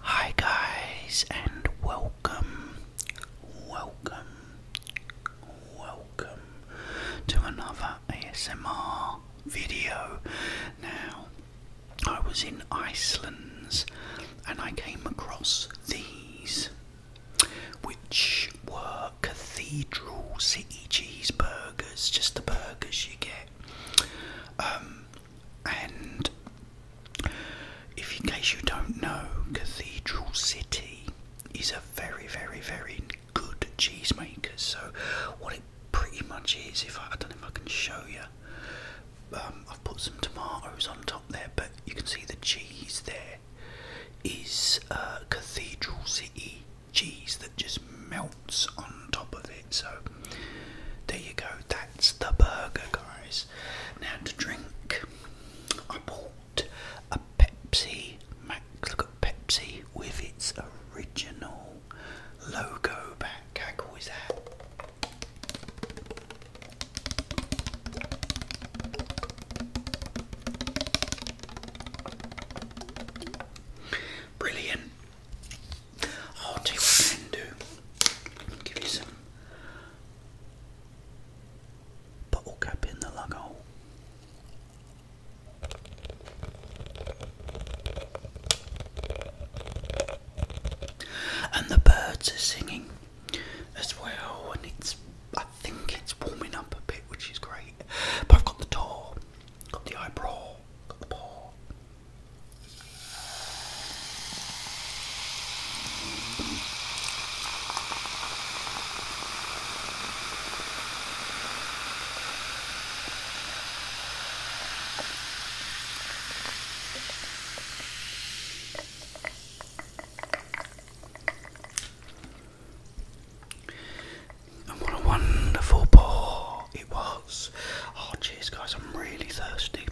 Hi guys and welcome, welcome, welcome to another ASMR video. Now, I was in Iceland's and I came across these, which were Cathedral City cheeseburgers, just the burgers you get. Um, and if in case you don't know, Cathedral City is a very, very, very good cheese maker. So what it pretty much is, if I, don't know if I can show you. Um, I've put some tomatoes on top there, but you can see the cheese there is uh, Cathedral City cheese that just melts on top of it. So there you go. That's the burger, guys. Now to drink, I bought a Pepsi Max. Look at Pepsi with its original logo back. How cool is Brilliant. I'll tell what I can do. Give you some bottle cap in the lug hole. And the birds are singing as well, and it's I think it's warming up a bit, which is great. But I've got the door, got the eyebrow, got the paw, what a wonderful pour it was. Oh, cheers, guys, I'm really thirsty.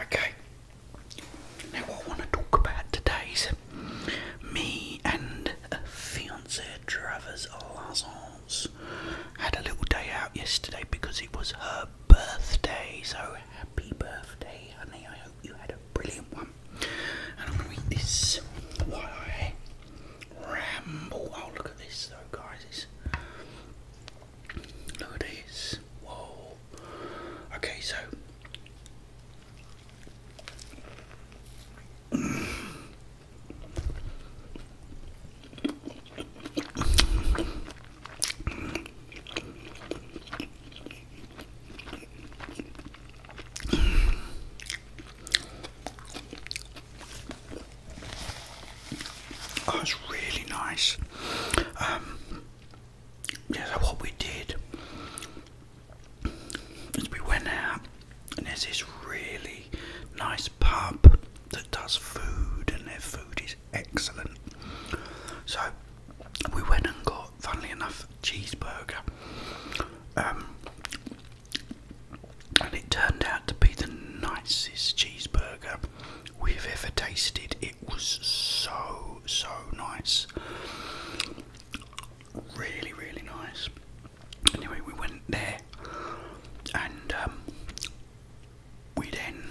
Okay, now what I want to talk about today's me and fiance Travers Lazon house. Had a little day out yesterday because it was her birthday. So happy birthday, honey! I hope you had a brilliant one. And I'm gonna eat this ramble. Oh, look at this though, guys! look at this. Whoa. Okay, so. Oh, was really nice. Um, yeah, what we did is we went out, and there's this really nice pub that does food, and their food is excellent. So we went and got, funnily enough, cheeseburger, um, and it turned out to be the nicest cheeseburger we've ever tasted. It was so so nice, really really nice. Anyway, we went there and um, we then,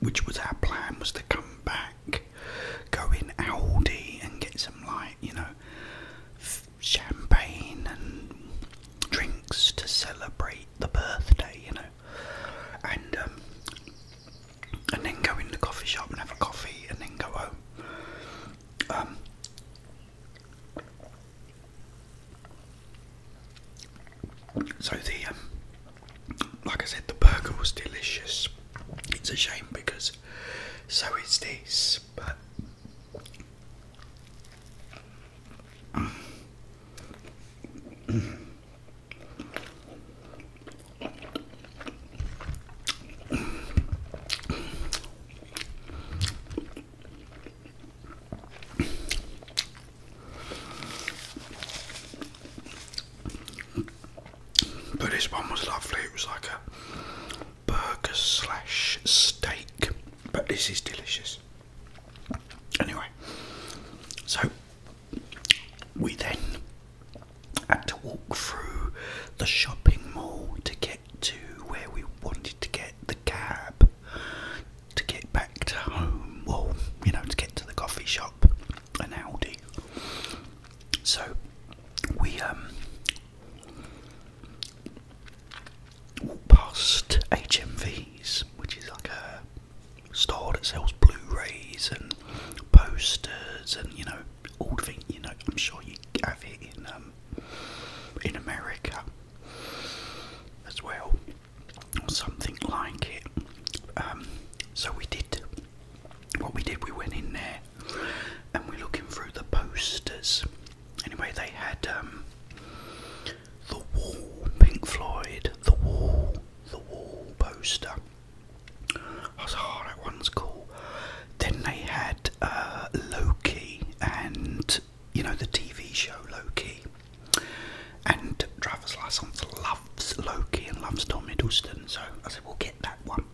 which was our plan, was to come back, go in Aldi and get some like you know champagne and drinks to celebrate the birthday, you know, and um, and then go in the coffee shop and have a coffee and then go home. Um, so the, um, like I said, the burger was delicious. It's a shame because so it's this, but but this one was lovely, it was like a burger slash steak, but this is delicious. Anyway, so we then had to walk through the shopping mall to get to where we wanted to get the cab to get back to home, well, you know, to get to the coffee shop, and Aldi. So we um walked past HMVs, which is like a store that sells Blu-rays and posters and you know all the things you know I'm sure you have it in um in America as well, or something like it. Um, so we did what we did. We went in there and we're looking through the posters. Anyway, they had um, the Wall, Pink Floyd, the Wall, the Wall poster. I was like, oh, that one's Then they had uh, Loki and you know, the TV show Loki. And Travis Lyssons loves Loki and loves Tom Hiddleston, so I said, we'll get that one.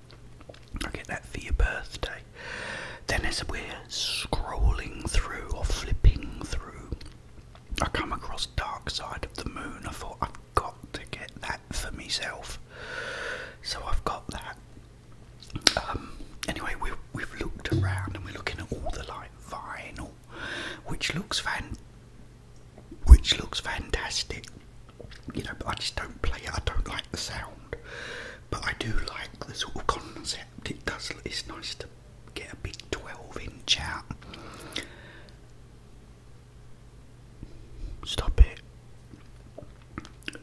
I'll get that for your birthday. Then, as we're scrolling through or flipping through, I come across Dark Side of the Moon. I thought, I've got to get that for myself. So I've got that. Um, anyway, we've, we've looked around and we're looking at all the lights vinyl, which looks fan, which looks fantastic. You know, I just don't play it. I don't like the sound, but I do like the sort of concept. It does. It's nice to get a big twelve-inch out. Stop it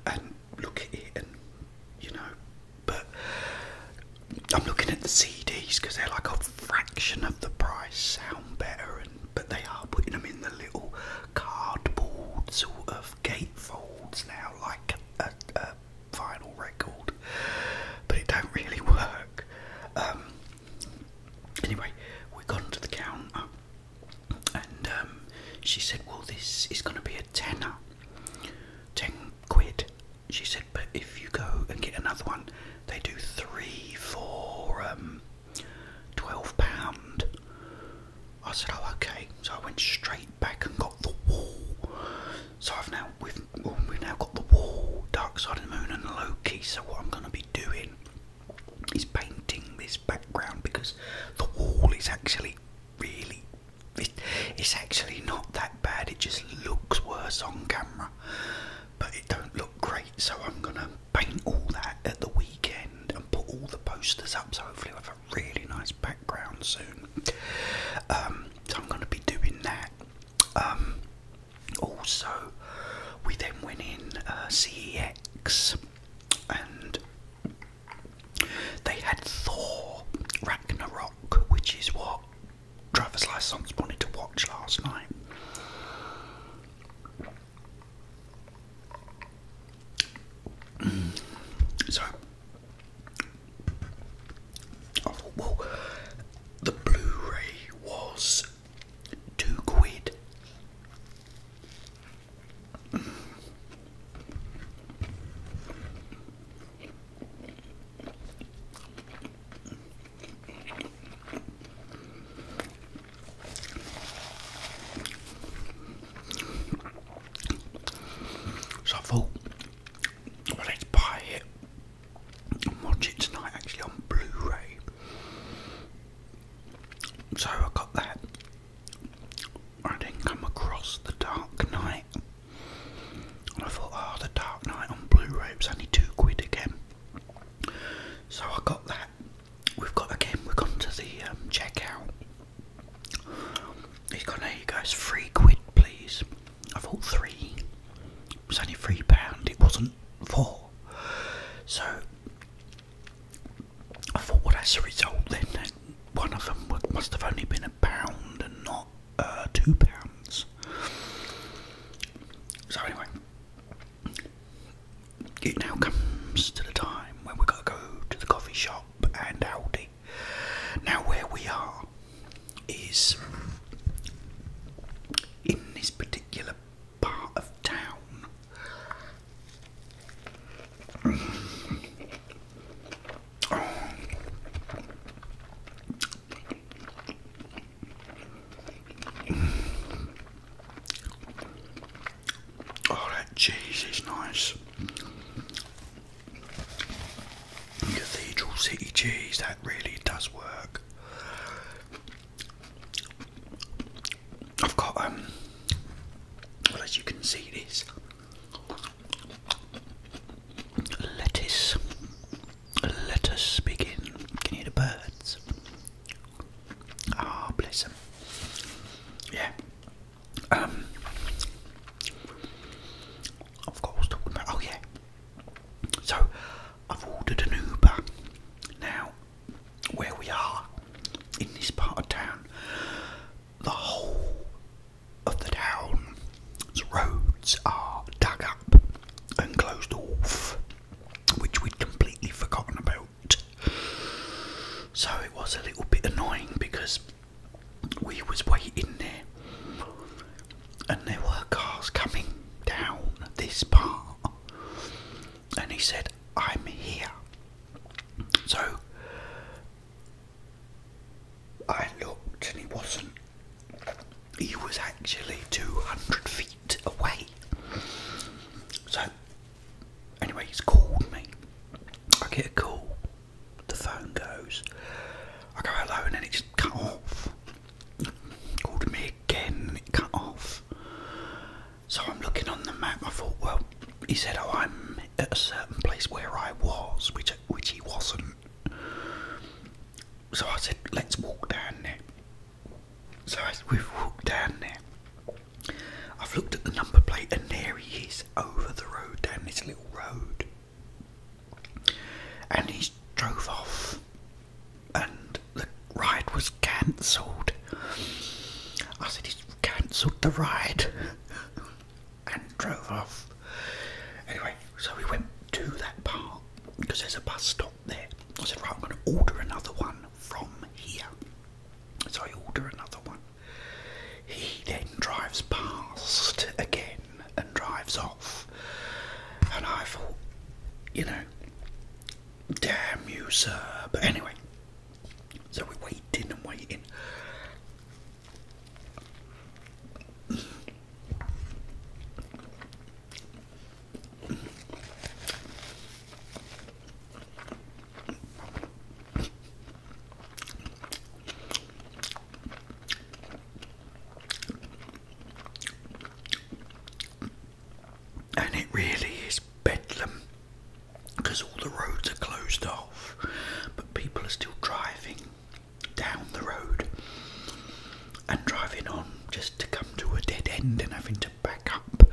and look at it, and you know, but I'm looking at the CDs because they're like a fraction of the price, sound better, but they are putting them in the little cardboard sort of gatefolds now, like a, vinyl record, but it don't really work. Um, anyway, we got onto the counter, and um, she said, "Well, this is going to be a tenner, ten quid." she said, but if you go and get another one, they do three for um, twelve pound. I said, oh okay. So I went straight back and got the wall. So I've now we've well, we've now got the wall, Dark Side of the Moon, and Loki. So what I'm going to be doing is painting this background because the wall is actually really it's actually not that bad. It just looks worse on camera, but it don't look great. So I'm gonna paint all that at the weekend and put all the posters up. So hopefully, I'll have a really nice background soon. Um, so I'm gonna be doing that. Um, also, we then went in uh, CEX and they had Thor Ragnarok, which is what driver's license wanted to watch last night. Mm. so oh, the Blu-ray was two quid. So I thought, let's buy it and watch it tonight actually on Blu ray. So I got that. I didn't come across The Dark Knight I thought, oh, The Dark Knight on Blu-ray was only two quid again. So I got that. We've got again. We've gone to the um, checkout. He's gone. There you go. three quid, please. I thought three. It was only three pound. It wasn't four. So I thought, well, that's a result then. one of them must have only been a pound and not uh, two pounds. So anyway, it now comes to the time when we've got to go to the coffee shop and Aldi. Now where we are is in this particular part of town. Oh, that cheese is nice. Cathedral City cheese, that really does work. I've got, um, well, as you can see, this lettuce let us begin. Can you hear the birds? Ah, bless them. Yeah. Um. Of course, talking about. Oh yeah. So, I've ordered an Uber. Now, where we are in this part of town, the whole of the town. roads are dug up and closed off, which we'd completely forgotten about. So it was a little bit annoying because we was waiting there and there were cars coming down this part and he said I'm here so I looked and he wasn't he was actually 200 feet away. So, anyway, he's called me. I get a call, the phone goes, I go hello, and then it just cut off. Called me again, and it cut off. So I'm looking on the map. I thought, well, he said, "Oh, I'm at a certain place where I was," which which he wasn't. So I said, let's walk down there. So as we've walked down there, I've looked at the number plate, and there he is over the road, down this little road. And he drove off, and the ride was cancelled. I said, he's cancelled the ride and drove off. Anyway, so we went to that park because there's a bus stop there. I said, right, I'm going to order another one from here. So I order another one. He then drives past again and drives off. And I thought, you know, damn you, sir. But anyway, so we're waiting and waiting. And it really is bedlam because all the roads are closed off, but people are still driving down the road and driving on just to come to a dead end and having to back up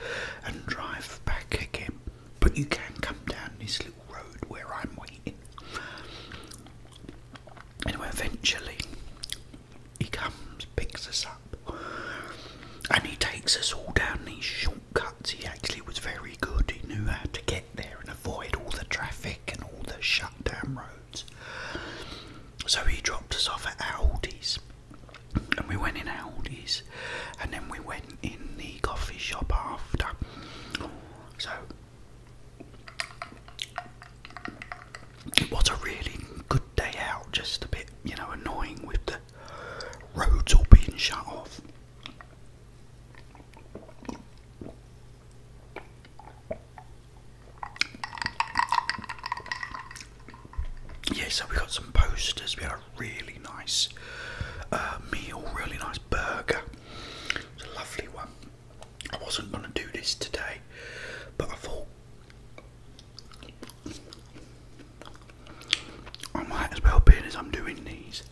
and drive back again. But you can come down this little road where I'm waiting. Anyway, eventually he comes, picks us up, and he takes us all down these shortcuts. He actually was very good, he knew how to get there and avoid all the traffic and all the shut down roads. So he dropped us off at Aldi's, and we went in Aldi's, and then we went in the coffee shop after. So it was a really good day out, just a bit, you know, annoying with the roads all being shut off. Yeah, so we got some posters. We had a really nice uh, meal, really nice burger. It's a lovely one. I wasn't going to do this today, but I thought I might as well, be as I'm doing these.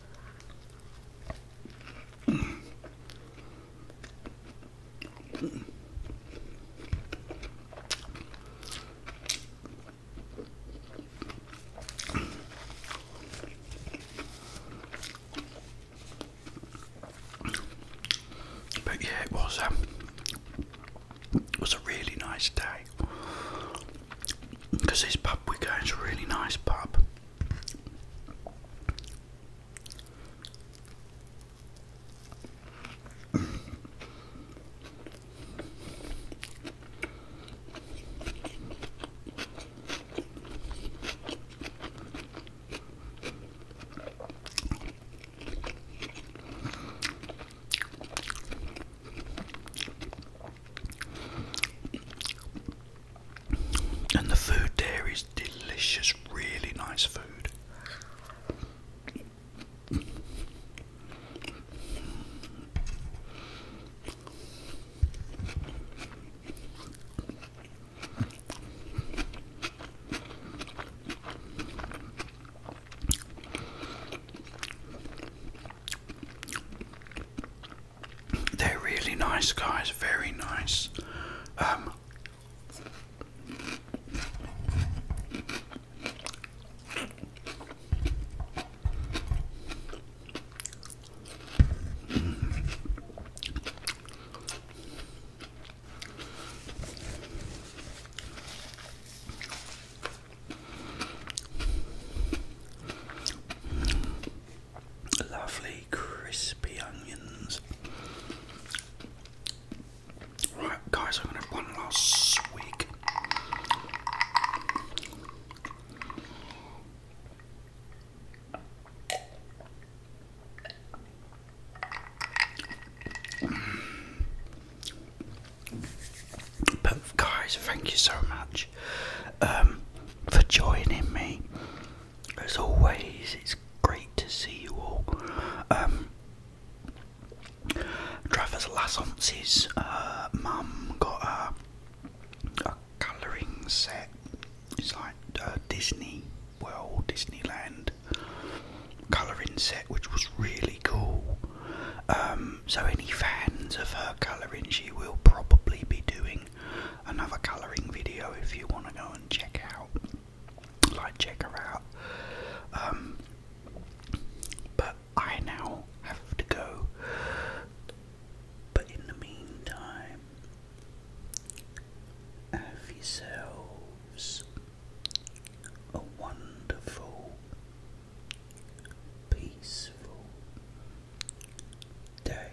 But yeah, it was um, it was a really nice day because this pub we go going to a really nice pub. And the food there is delicious, really nice food. They're really nice guys, very nice. Um, Lovely crispy onions. Right, guys, I'm going to have one last swig. But guys, thank you so much um, for joining me as always, it's great to see you all. Travis um, Lassance's uh, mum got a, colouring set. It's like uh, Disney World, Disneyland colouring set, which was really cool. Um, so, any fans of her colouring, she will probably be doing another colouring video if you want to go and check out like check her out. Um, but I now have to go. But in the meantime, have yourselves a wonderful, peaceful day.